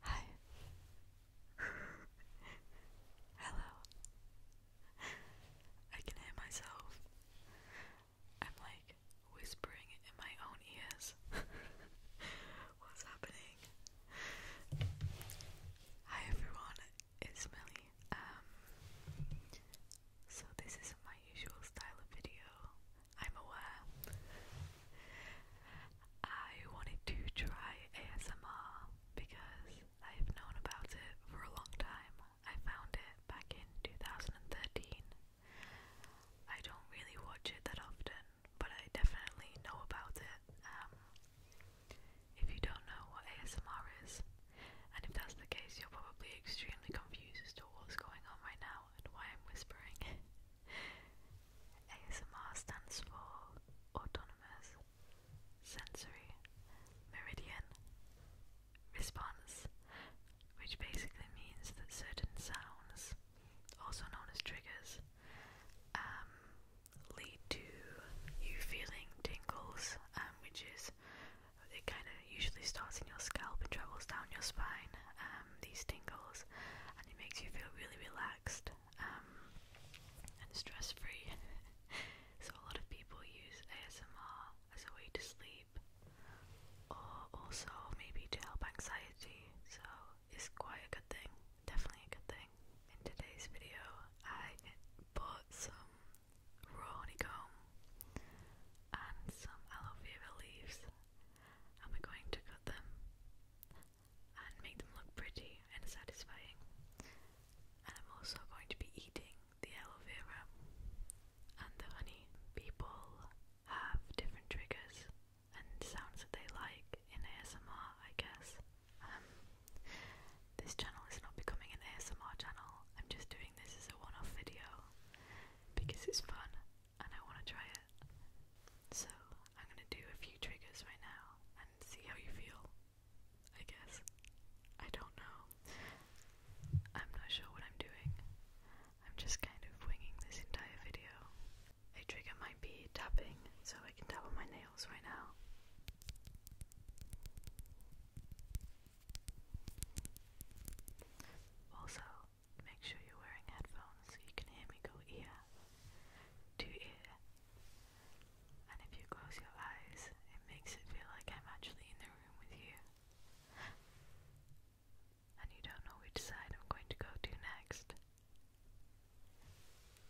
Hi. Hello. I can hear myself. I'm like whispering in my own ears. What's happening? Hi everyone, it's Millie. Um so this isn't my usual style of video. I'm aware. I wanted to try ASMR because I have known about it for a long time. I found it back in 2013. I don't really watch it that often, but I definitely know about it. Um, if you don't know what ASMR is, and if that's the case, you're probably extremely confused as to what's going on right now, and why I'm whispering. ASMR stands for Autonomous Sensory Meridian Response, which basically means that certain sounds, also known as triggers, um, lead to you feeling tingles, um, which is it kind of usually starts in your scalp and travels down your spine, um, these tingles, and it makes you feel really relaxed um, and stress free. so, a lot of people use ASMR as a way to sleep, or also maybe to help anxiety, so it's quite a good thing, definitely a good thing. In today's video, I bought some raw honeycomb and some aloe vera leaves, and we're going to cut them and make them look pretty and satisfying. And I'm also going to be eating the aloe vera and the honey. People have different triggers and sounds that they like in ASMR, I guess. Um, this channel is not becoming an ASMR channel, I'm just doing this as a one off video because it's fun and I want to try it. So I'm going to do a few triggers right now and see how you feel. I guess. I don't know. I'm not sure what I'm doing. I'm just kind of winging this entire video. A trigger might be tapping, so I can tap on my nails right now. Also, make sure you're wearing headphones so you can hear me go ear to ear. And if you close your eyes, it makes it feel like I'm actually in the room with you. And you don't know which side I'm going to go to next.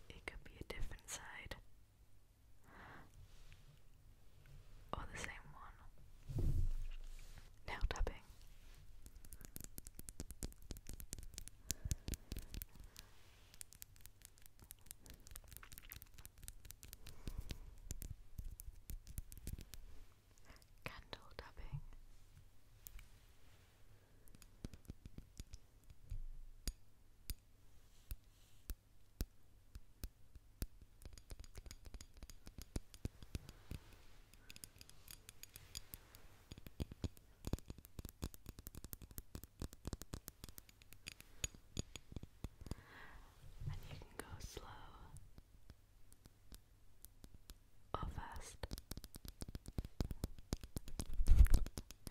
It could be a different side or the same one. Nail tapping. Candle tapping. And you can go slow or fast.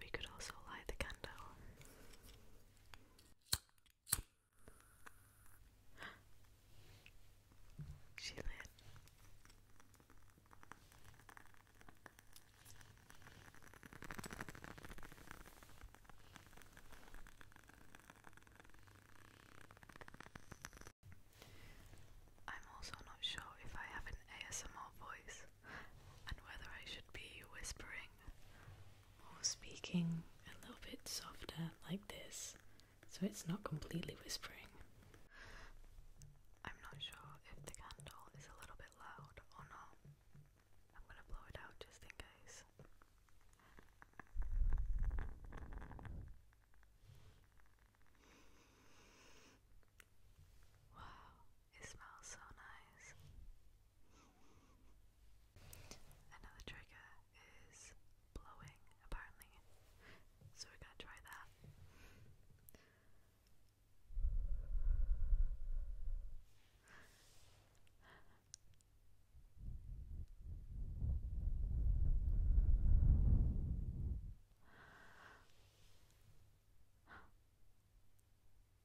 we could also light the candle she I'm also not sure if I have an ASMR voice and whether I should be whispering or speaking a little bit softer like this so it's not completely whispering. I'm not sure if the candle is a little bit loud or not. I'm gonna blow it out just in case. Wow, it smells so nice. Another trigger is blowing, apparently. So we're gonna try that. I'm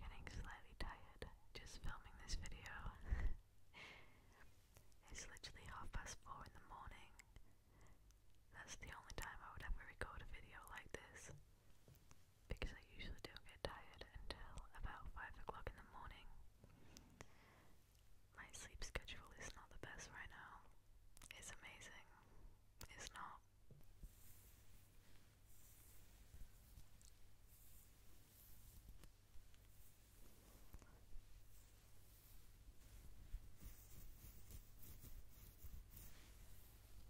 getting slightly tired just filming this video. it's literally half past four in the morning, that's the only time I would ever record a video like this. Because I usually don't get tired until about 5 o'clock in the morning. My sleep schedule is not the best right now. It's amazing. It's not.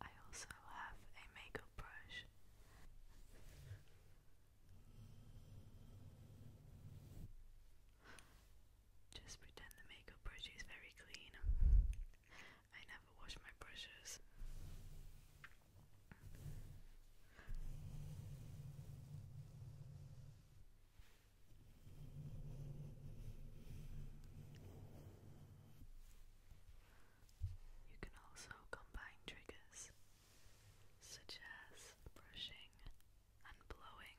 I also have a makeup brush. Just pretend the makeup brush is very clean. I never wash my brushes. You can also combine triggers such as brushing and blowing.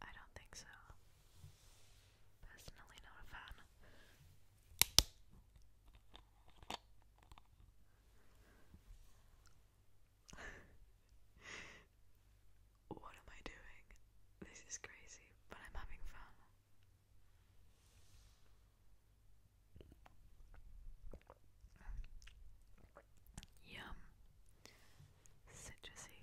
I don't think so. Personally, not a fan what am I doing? This is crazy, but I'm having fun. Yum. Citrusy.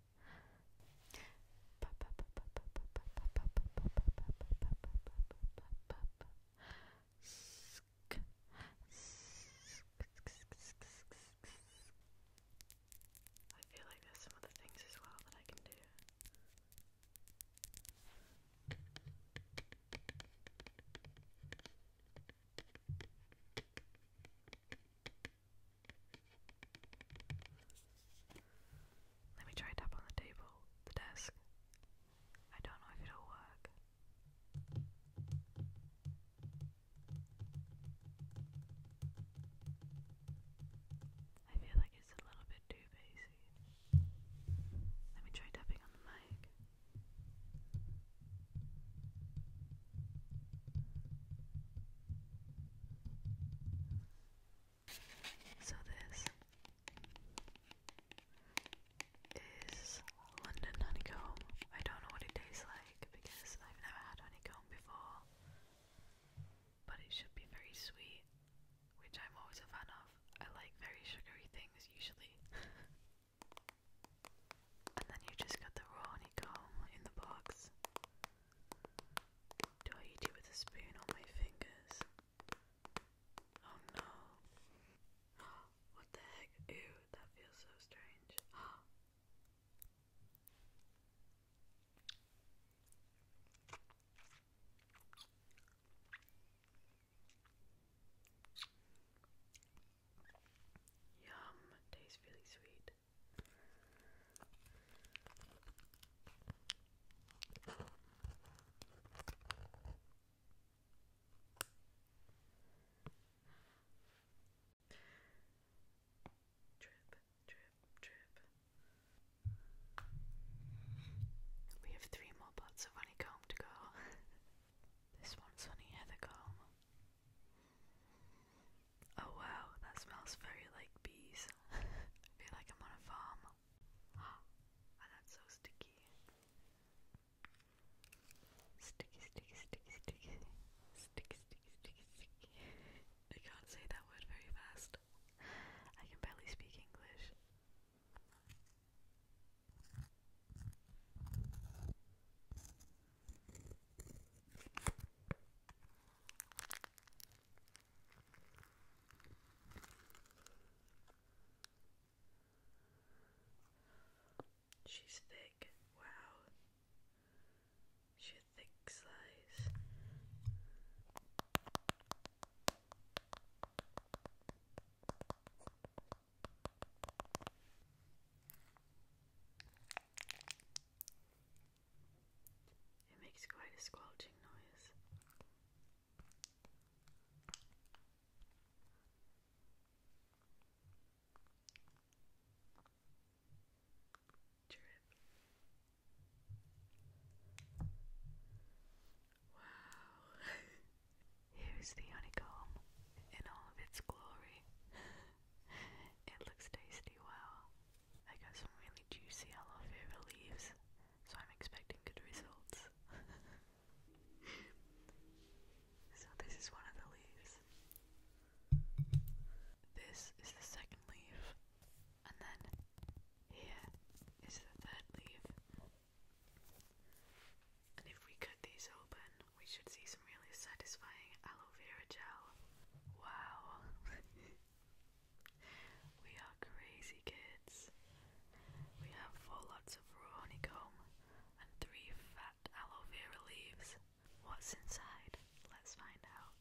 I feel like there's some other things as well that I can do. Let me try tap on the table, the desk. I don't know if it'll work. I feel like it's a little bit too bassy. Let me try tapping on the mic. So this is London honeycomb. I don't know what it tastes like because I've never had honeycomb before. But it should be very sweet, which I'm always a fan of. I like very sugary things usually. and then you just got the raw honeycomb in the box. Do I eat you with a spoon on my fingers? Oh no. What the heck? Ew, that feels so strange. Yum, tastes really sweet. Trip, trip, trip. We have three more pots of honeycomb to go. this one's honey heather comb. Oh wow, that smells very like bees. I feel like I'm on a farm. Oh, that's so Sticky, sticky, sticky, sticky. Sticky, sticky, sticky, sticky. I can't say that word very fast. I can barely speak English. She's thick. Wow. She's thick slice. It makes quite a squelching noise. Wow. Here is the honeycomb in all of its glory. it looks tasty, wow. I got some really juicy aloe vera leaves, so I'm expecting good results. so this is one of the leaves. This is the second leaf, and then here is the third leaf. And if we cut these open, we should see some really satisfying aloe aloe vera gel. Wow. we are crazy kids. We have four lots of raw honeycomb and three fat aloe vera leaves. What's inside? Let's find out.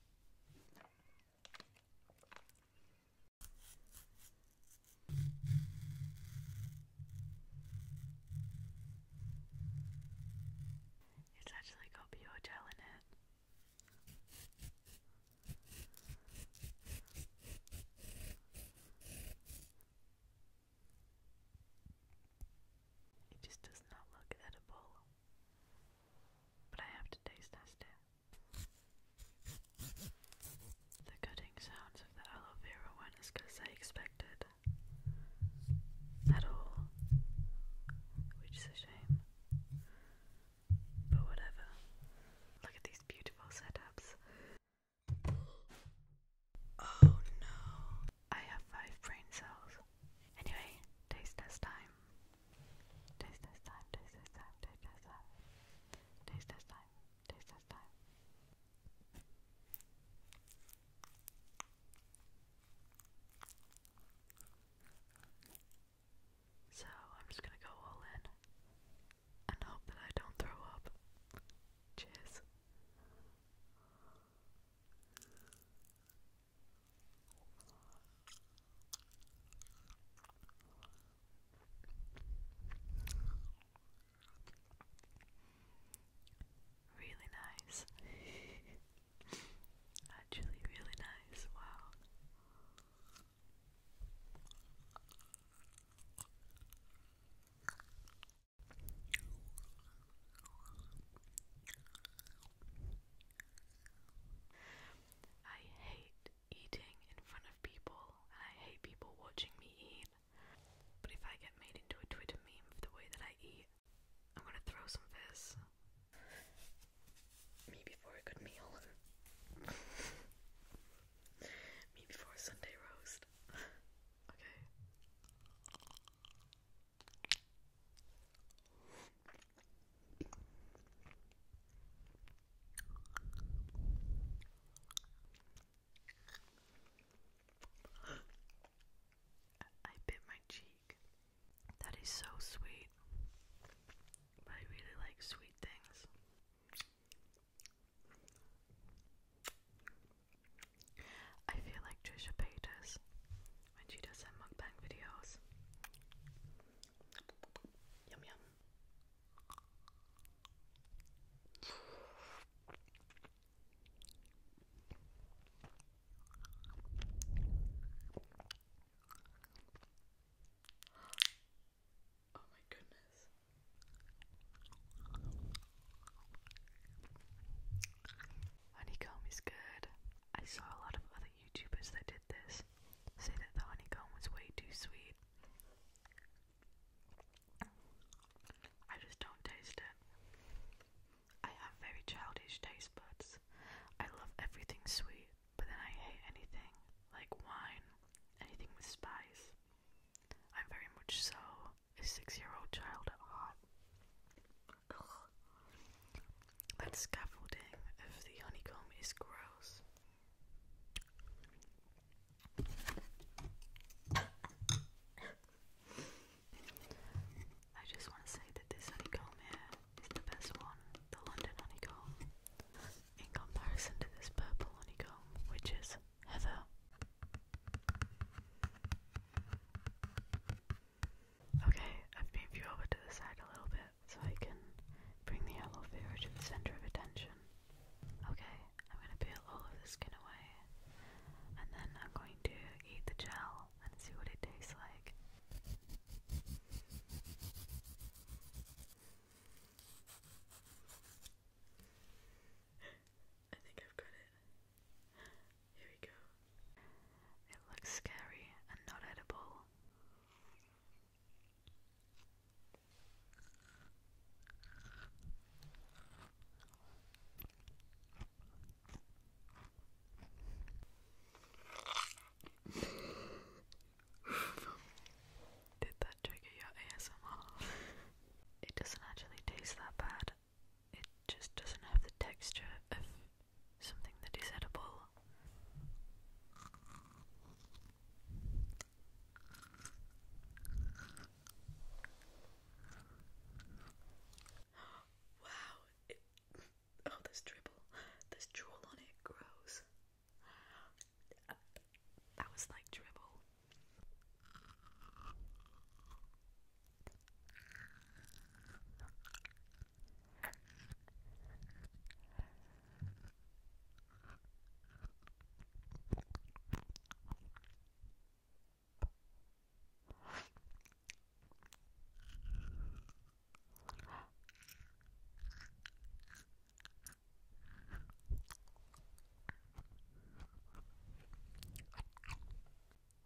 It's actually got gel in it. It just does not look edible, but I have to taste test The cutting sounds of the aloe vera one is because I expected at all, which is shame. But whatever. Look at these beautiful setups. Oh no. I have five brain cells. Anyway, taste test time. Taste test time, taste test time, taste test time. Taste test time, taste test time. So I'm just gonna go all in and hope that I don't throw up. Cheers. Really nice. Actually, really nice. Wow. I hate eating in front of people, and I hate people watching me eat. But if I get made into a Twitter meme for the way that I eat, I'm gonna throw some of this. Maybe for a good meal. Maybe for a Sunday roast. okay. I bit my cheek. That is so sweet. I really like sweet things. I feel like Trisha Paytas when she does her mukbang videos. Yum yum. Oh honeycomb is good. I saw a lot of other YouTubers that did this say that the honeycomb was way too sweet. I just don't taste it. I have very childish taste buds. I love everything sweet, but then I hate anything like wine, anything with spice. I'm very much so a six year old child at heart. Ugh. That scaffolding of the honeycomb is gross. I just want to say that this honeycomb here is the best one, the London honeycomb, in comparison to this purple honeycomb, which is heather. Okay, I've moved you over to the side a little bit so I can bring the aloe vera to the center of attention. Okay, I'm going to peel all of the skin away and then I'm going to eat the gel bottle and see what it tastes like. I think I've got it. Here we go. It looks scary and not edible. Did that trigger your ASMR? it doesn't actually taste that bad. It just doesn't have the texture of something that is edible. Wow. oh, there's dribble. There's drool on it. Gross. That was like dribble.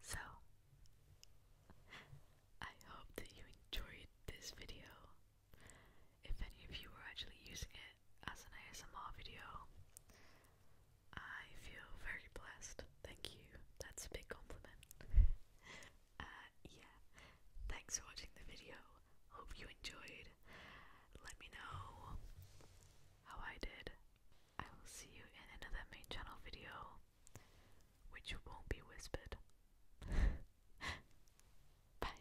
So, I hope that you enjoyed this video. If any of you are actually using it as an ASMR video, I feel very blessed. Thank you. That's a big compliment. Uh, yeah. Thanks for watching the video. Hope you enjoyed. Let me know how I did. I will see you in another main channel video, which won't be whispered. Bye.